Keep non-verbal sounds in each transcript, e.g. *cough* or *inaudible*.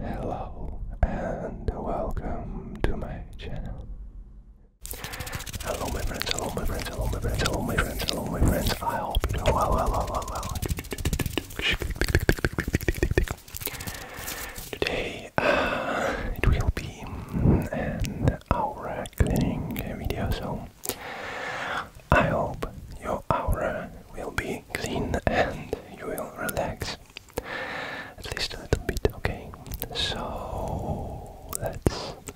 Hello and welcome to my channel. Hello my friends, hello my friends, hello my friends, hello my friends, hello my friends. I hope you do well, well, well, well, well. Today uh, it will be an aura cleaning video, so I hope your aura will be clean and you will relax at least a little bit. Okay, so let's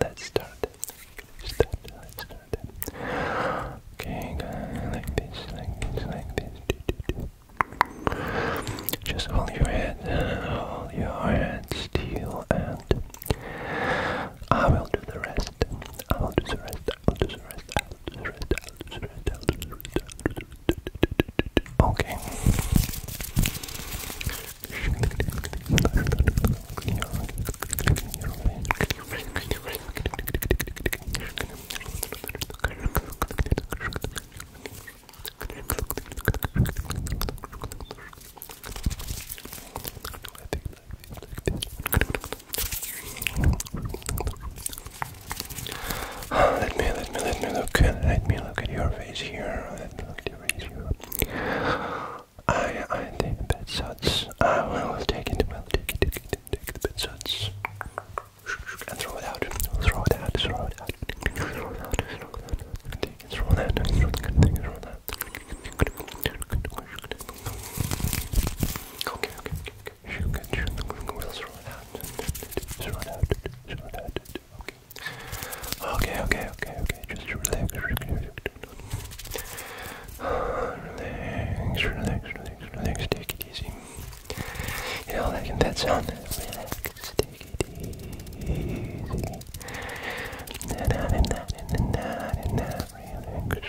let's start. let start. Let's start. Okay, like this, like this, like this. Just hold your head, hold your head still, and I will do the rest. I will do the rest. I will do the rest. Okay. I think like this, like this. *sighs* Let me, let me, let me look. Let me look at your face here. Let me look at your face here. I, I take the bed I will take it. Well, take it, take it, take the bed And throw it out. Throw it out. Throw it out. Throw it out. Take it. Throw it out. Throw it out. okay. She can out. Just run out. Just run out. Okay. Okay, okay, okay, Just relax, relax. relax, relax, Take it easy. You know, like in that sound. Relax, take it easy. Na na na na na na na. Relax.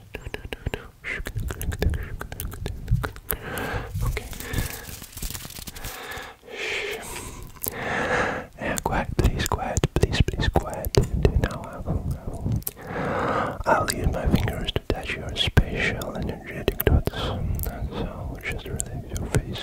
Okay. Yeah, quiet, please, quiet, please, please, quiet. Now I will, use my fingers to touch your special energetic dots. so just relax your face.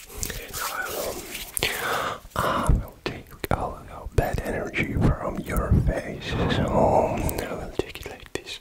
Now I will, take all the bad energy from your face, so I will take it like this.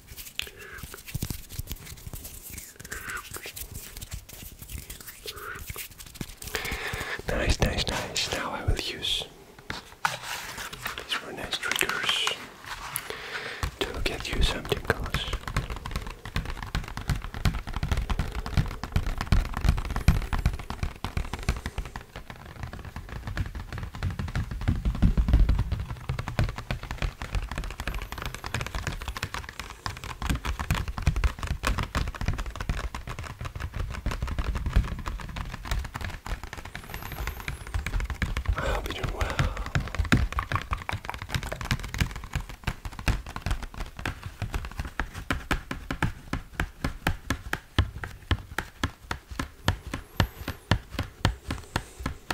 Nice, nice, nice. Now I will use these were nice triggers to get you something deep I hope you're doing well.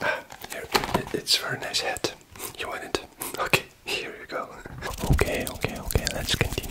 Ah, here, it's a very nice hat. You want it? Okay, here you go. Okay, okay, okay, let's continue.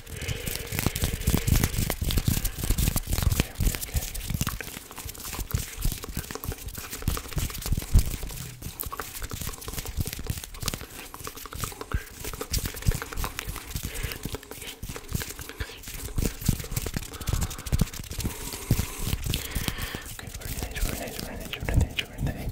Okay, okay, okay. Okay, very nice, very nice, very nice, very nice, very nice. Okay,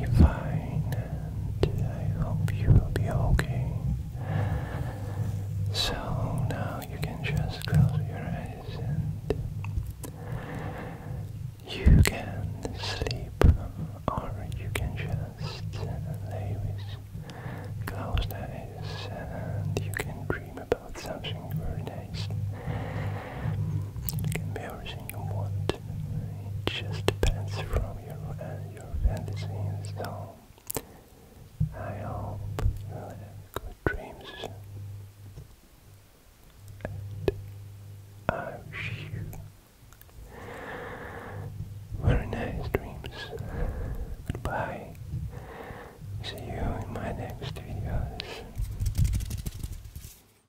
be fine, and I hope you will be okay. So now you can just close your eyes and you can sleep, or you can just lay with closed eyes and you can dream about something very nice. It can be everything you want it just depends from your uh, your fantasy. So I hope you have good dreams, and I wish you very nice dreams. Goodbye. See you in my next videos.